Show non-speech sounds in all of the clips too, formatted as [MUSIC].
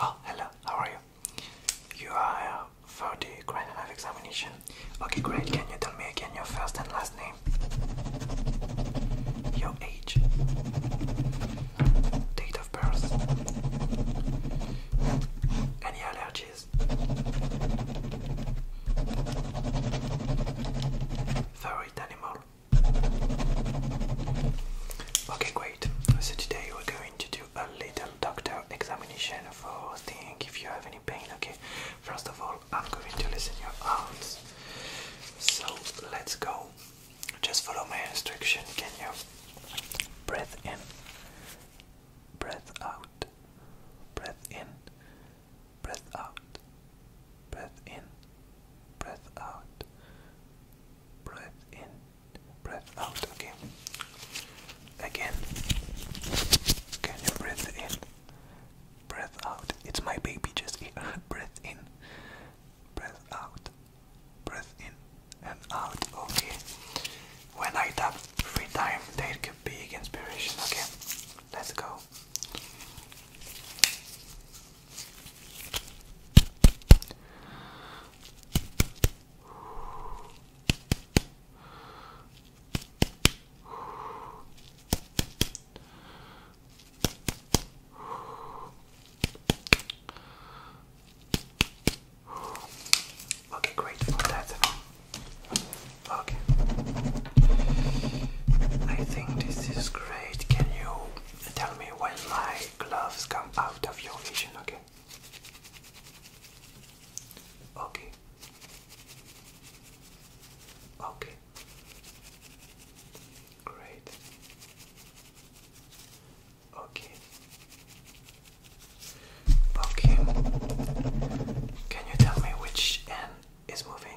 Oh, hello, how are you? You are uh, for the Grand Enough examination. Okay, great. Can you tell me again your first and last name? Your age? Date of birth? Any allergies? Favorite animal? Okay, great. So today we're I'm going to do a little doctor examination for seeing if you have any pain, okay? First of all, I'm going to listen your arms. So let's go. Just follow my instruction, can you? Breath in, breath out, breath in, breath out, breath in, breath out, breath in breath out, again, Again. Can you breathe in? Breath out. It's my baby just here. [LAUGHS] breath in. Breath out. Breath in and out. Okay. When I tap three times, there could be inspiration. Okay. Let's go. Okay, great for that. Okay. I think this is great. Can you tell me when my gloves come out of your vision, okay? Okay. Okay. Great. Okay. Okay. Can you tell me which end is moving?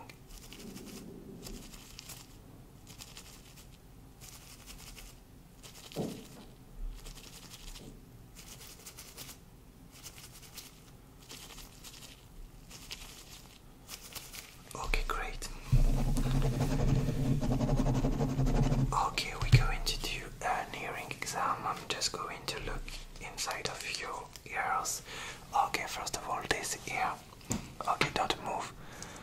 Okay, great. Okay, we're going to do an uh, hearing exam. I'm just going to look inside of your ears. Okay, first of all, this ear. Okay, don't move.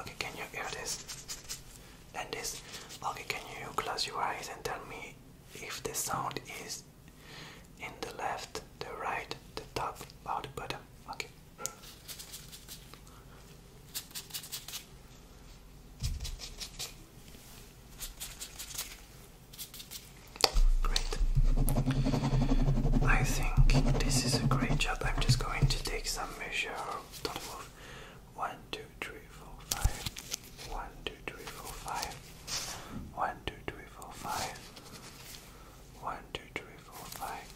Okay, can you hear this? And this? Okay, can you close your eyes and tell me if the sound is in the left, the right, the top, or the bottom? Okay right. I think this is a great shot. I'm just going to take some measure. Don't move. One, two, three, four, five. One, two, three, four, five. One, two, three, four, five. One, two, three, four, five.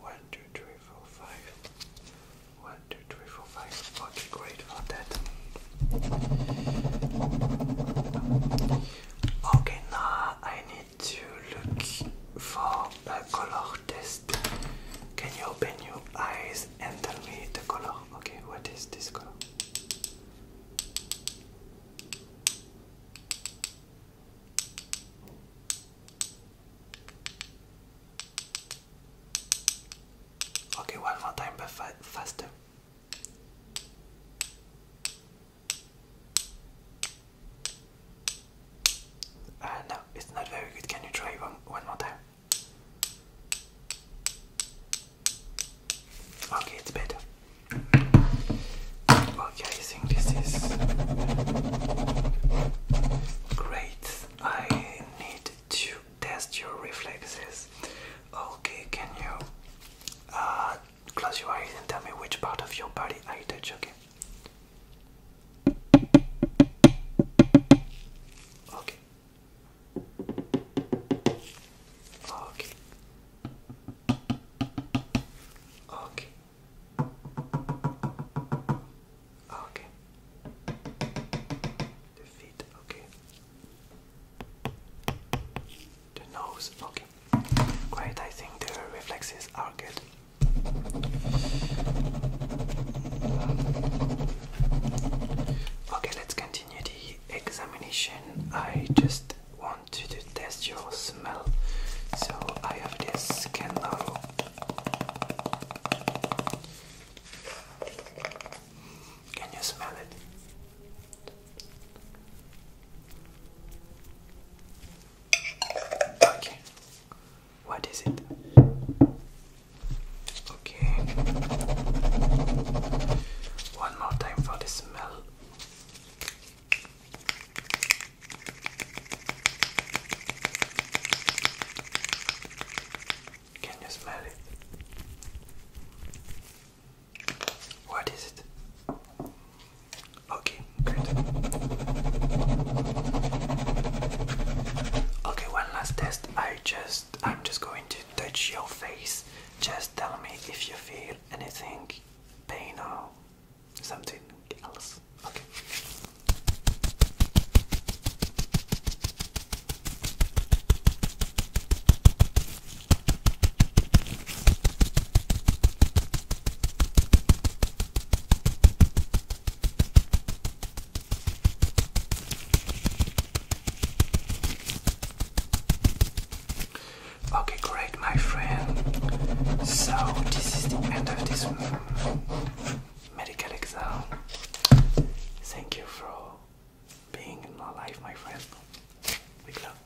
One, two, three, four, five. One, two, three, four, five. Okay, great for that. Okay, now I need to look for a color test. Can you open your eyes and tell me the color? Okay, what is this color? Okay, one more time, but faster. Ah, no, it's not very good. Can you try one, one more time? Okay, it's better. Okay, I think this is great. I need to test your reflexes. Okay, can you uh, close your eyes and tell me which part of your body I touch, okay? Okay. Okay. Okay. Okay. The feet, okay. The nose, okay. Great, I think the reflexes are good. Okay, let's continue the examination. I just want to test your smell. So I have this candle. Can you smell it? Okay. What is it? Okay. One more time for the smell. Can you smell it? What is it? Okay, good. Okay, one last test. I just I'm just going to touch your face. Just tell me if you feel anything, pain or something else. Okay. Okay, great, my friend. So, this is the end of this medical exam. Thank you for being in my life, my friend. Big love.